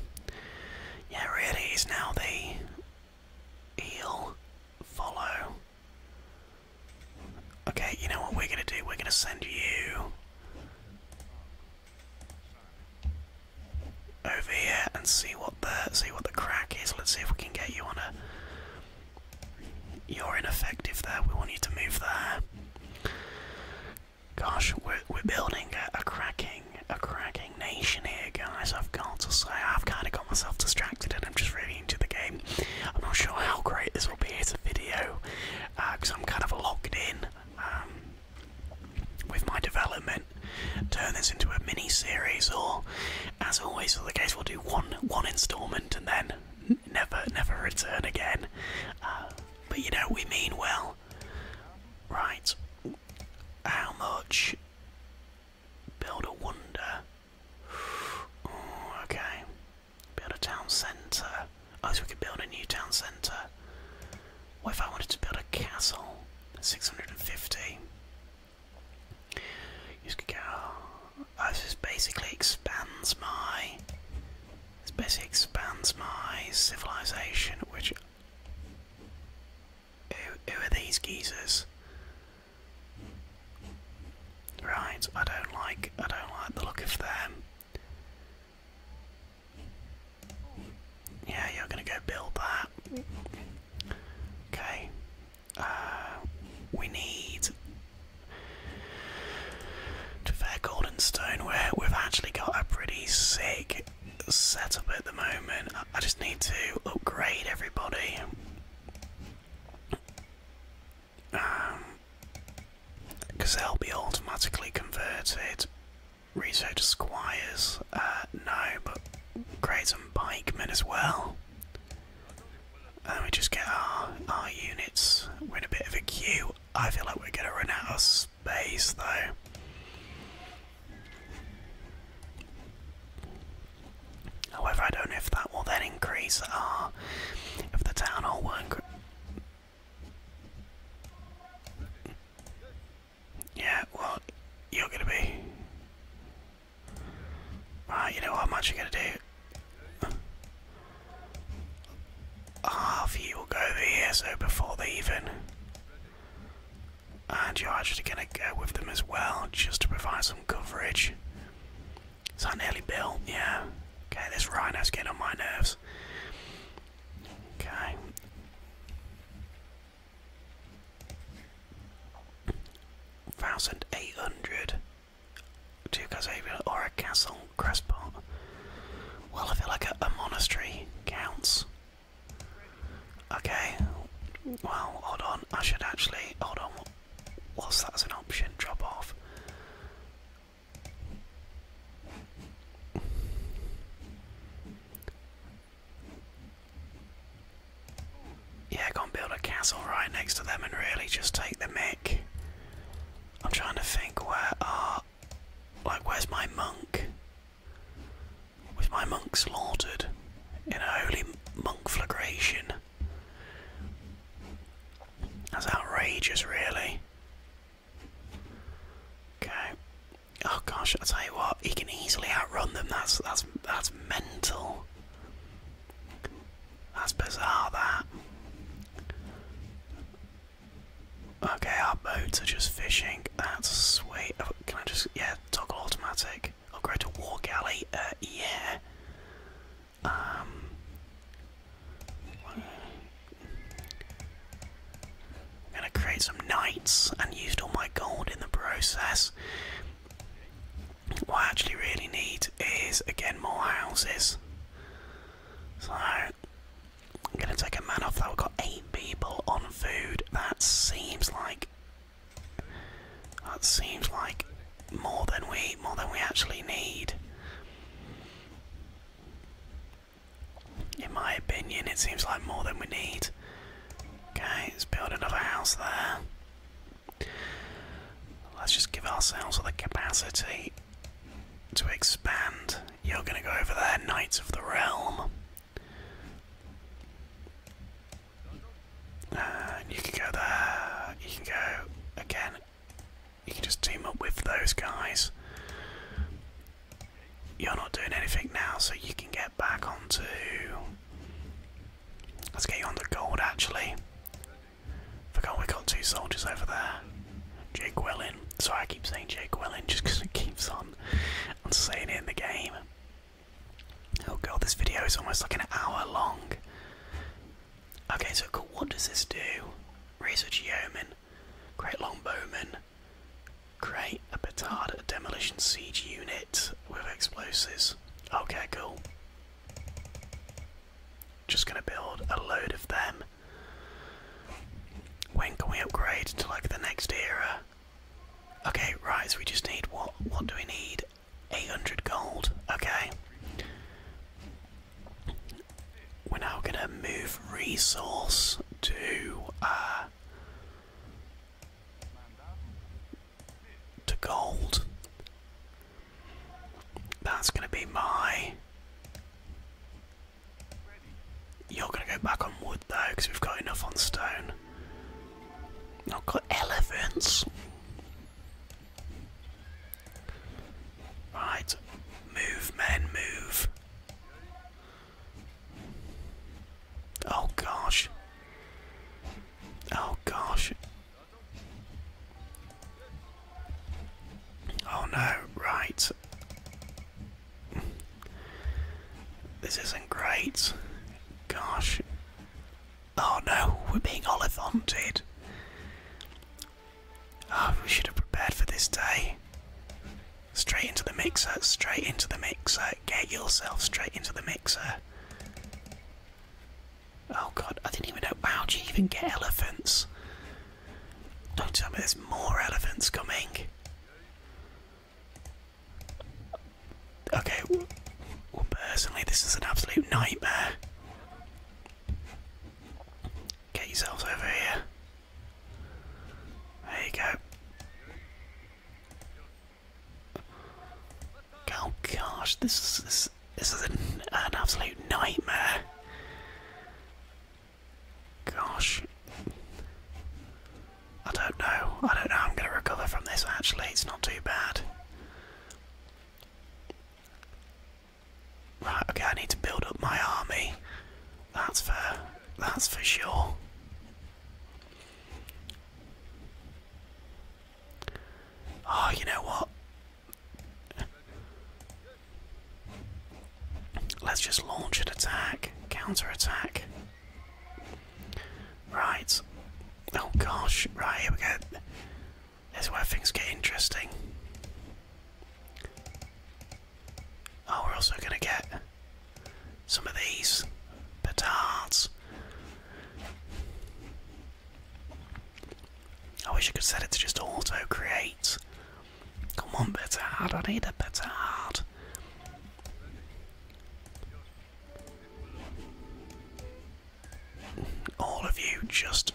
Yeah, really now the eel follow. Okay, you know what we're gonna do? We're gonna send you over here and see what the see what the crack is. Let's see if we can get you on a. You're ineffective there. We want you to move there. Gosh, we're we're building a, cracking a cracking nation here, guys. I've got to say, I've kind of got myself distracted, and I'm just really into the game. I'm not sure how great this will be as a video, because uh, I'm kind of locked in um, with my development. Turn this into a mini series, or as always for the case, we'll do one one instalment and then never never return again. Uh, but you know we mean well, right? How much? Build a wonder. okay. Build a town centre. Oh, so we could build a new town centre. What if I wanted to build a castle? 650. You just could go. Oh, basically expands my. This basically expands my civilization, which. Who, who are these geezers? Right, I don't like. I don't like the look of them. Yeah, you're gonna go build that. Okay. Uh, we need to fair golden stone we've actually got a pretty sick setup at the moment. I just need to upgrade everybody because um, they'll be automatically converted. Research squires, uh, no, but create some pikemen as well. And we just get our, our units. We're in a bit of a queue. I feel like we're going to run out of space though. However, I don't know if that will then increase our. If the town won't yeah, well, you're gonna be. Right, ah, you know how much you're gonna do. Half you will go over here, so before they even. And you're actually gonna go with them as well, just to provide some coverage. It's not nearly built, yeah. Okay, this rhino's getting on my nerves. Okay. Thousand eight hundred. Two Casavia or a castle crestpot. Well I feel like a, a monastery counts. Okay. Well, hold on. I should actually hold on. Whilst that's an option, drop off. Yeah, gonna build a castle right next to them and really just take the mick. I'm trying to think where are uh, like where's my monk? With my monk slaughtered in a holy monk flagration? That's outrageous, really. Okay. Oh gosh, I tell you what, he can easily outrun them. That's that's that's mental. That's bizarre. That. Okay, our boats are just fishing. That's sweet. Oh, can I just yeah toggle automatic? Upgrade to war galley. Uh, yeah. I'm gonna create some knights and used all my gold in the process. What I actually really need is again more houses. So I'm gonna take a man off that. We've got eight people on food. That seems like that seems like more than we more than we actually need. In my opinion, it seems like more than we need. Okay, let's build another house there. Let's just give ourselves the capacity to expand. You're going to go over there, Knights of the Realm. And you can go there. You can go again you can just team up with those guys. You're not doing anything now, so you can get back onto. Let's get on the gold actually. Forgot we got two soldiers over there. Jake Willin. Sorry, I keep saying Jake Willin just because it keeps on, on saying it in the game. Oh god, this video is almost like an hour long. Okay, so cool. What does this do? Research yeoman, great longbowman, create a petard, a demolition siege unit with explosives. Okay, cool. Just gonna build a load of them. When can we upgrade to like the next era? Okay, right, so we just need what what do we need? 800 gold, okay. We're now going to move resource to uh, to gold. That's going to be my. You're going to go back on wood though, because we've got enough on stone. Not got elephants. Right. Move, men, move. Oh gosh. Oh gosh. Oh no, right. This isn't great. Gosh. Oh no, we're being olifhanted. Oh, we should have prepared for this day. Straight into the mixer, straight into the mixer. Get yourself straight into the mixer. Oh god, I didn't even know. How do you even get elephants? Don't tell me there's more elephants coming. Okay, well, personally, this is an absolute nightmare. Get yourselves over here. There you go. Oh gosh, this is this, is an, an absolute nightmare. Gosh, I don't know. I don't know. I'm going to recover from this. Actually, it's not too bad. Right, okay, I need to build up my army. That's for that's for sure. Oh, you know what? Let's just launch an attack, counter attack. Right. Oh gosh, right, here we go. This is where things get interesting. Oh, we're also going to get some of these petards. I wish I could set it to just auto create. Come on, petard, I need a petard. All of you just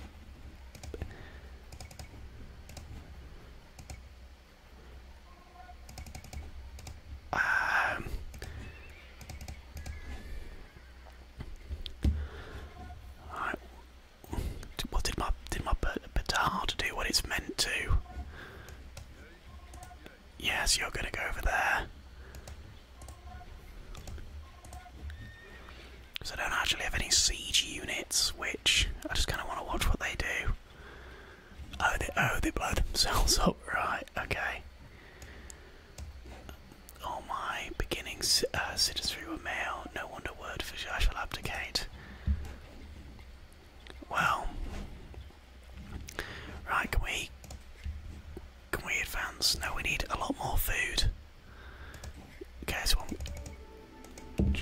um, right. What did my did my petard do what it's meant to? Yes, you're gonna go over there. Because I don't actually have any siege units, which I just kind of want to watch what they do. Oh, they, oh, they blow themselves up, right, okay. All my beginning uh, citizenry were male, no wonder word for I shall abdicate. Well, right, can we, can we advance? No, we need a lot more food. Okay, so I'm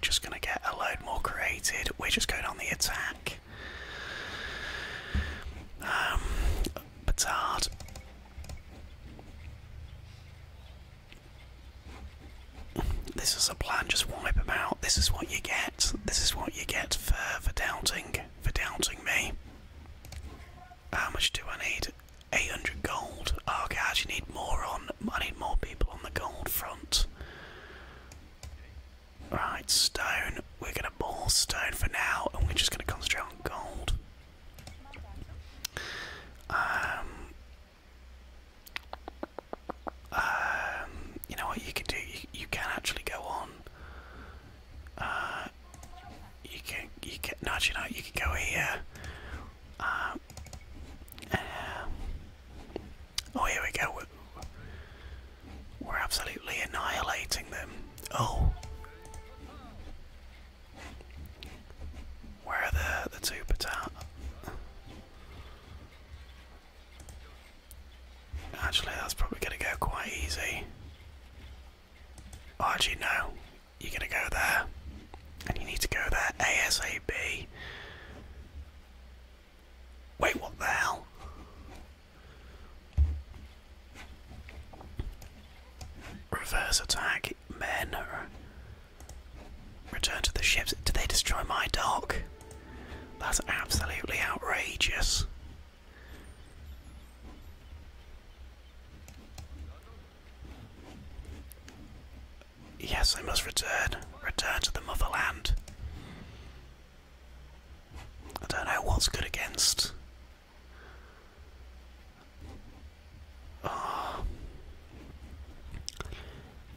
just, gonna get a load more created. We're just going on the attack. Um, petard. This is a plan. Just wipe them out. This is what you get. This is what you get for for doubting for doubting me. How much do I need? 800 gold. Oh guys, you need more on. I need more people on the gold front. Right, stone. We're gonna ball stone for now, and we're just gonna concentrate on gold. Um. Um. You know what you can do? You, can actually go on. Uh. You can. You can. No, actually, no. You can go here. Uh, oh, here we go. We're, absolutely annihilating them. Oh. Where are the, the two battalions? Actually, that's probably going to go quite easy. Oh, no you're going to go there. And you need to go there ASAP. Wait, what the hell? Reverse attack, men. Return to the ships. Did they destroy my dock? That's absolutely outrageous. Yes, I must return. Return to the motherland. I don't know what's good against. Oh.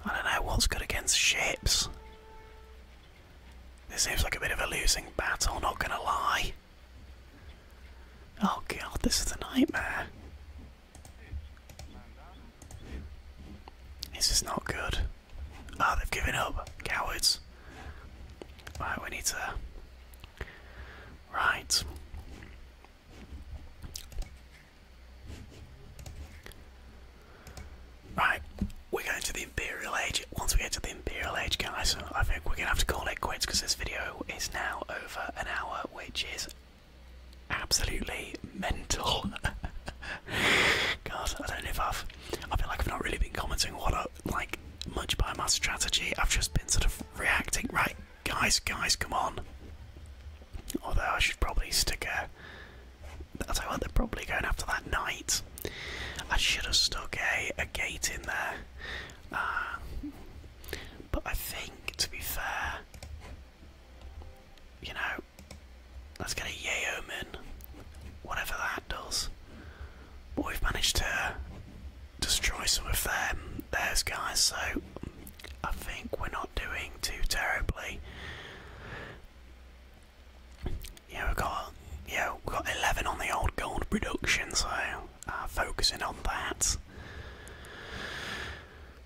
I don't know what's good against ships. This seems like a bit of a losing battle, not gonna lie. Oh god, this is a nightmare. This is not good. Ah, they've given up. Cowards. Right, we need to. Right. Right, we're going to the Imperial Age. Once we get to the Imperial Age, guys, I think we're going to have to call it quits because this video is now over an hour, which is absolutely mental. God, I don't know if I've. I feel like I've not really been commenting what I, like much by my strategy. I've just been sort of reacting. Right, guys, guys, come on. Although I should probably stick a. I tell you what, they're probably going after that knight. I should have stuck a, a gate in there. Uh, but I think, to be fair, you know, let's get a Yeoman, whatever that does. But we've managed to destroy some of them, those guys, so I think we're not doing too terribly. Yeah, we've got yeah, we've got eleven on the old gold production, so uh, focusing on that.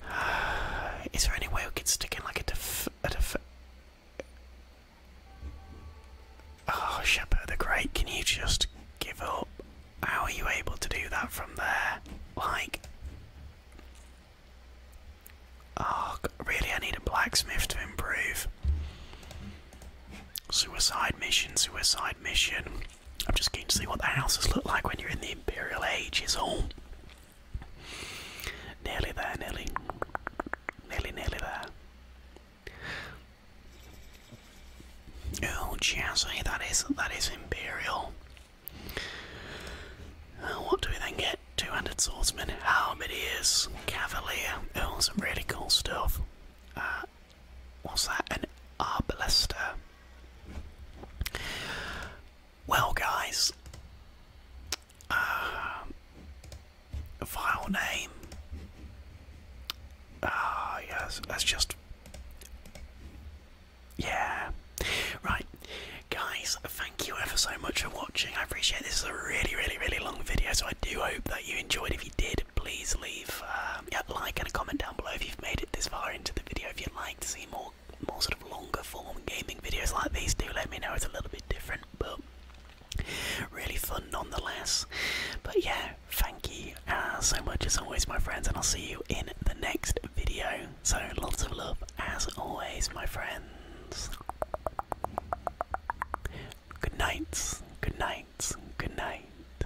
Is there any way we could stick in like a def a def Oh, Shepherd the Great, can you just give up? How are you able to do that from there? Like, oh, really? I need a blacksmith to improve. Suicide mission, suicide mission. I'm just keen to see what the houses look like when you're in the Imperial Age, is all. Nearly there, nearly. Nearly, nearly there. Oh, jazzy, that is, that is Imperial. Oh, what do we then get? 200 swordsmen, halberdiers, cavalier. Oh, some really cool stuff. Uh, what's that? An arbalister. Well, guys, file uh, name. Ah, yes, that's just. Yeah. Right. Guys, thank you ever so much for watching. I appreciate this is a really, really, really long video, so I do hope that you enjoyed. If you did, please leave um, a like and a comment down below if you've made it this far into the video. If you'd like to see more more sort of longer form gaming videos like these do let me know it's a little bit different but really fun nonetheless but yeah thank you uh, so much as always my friends and i'll see you in the next video so lots of love as always my friends good nights. good night good night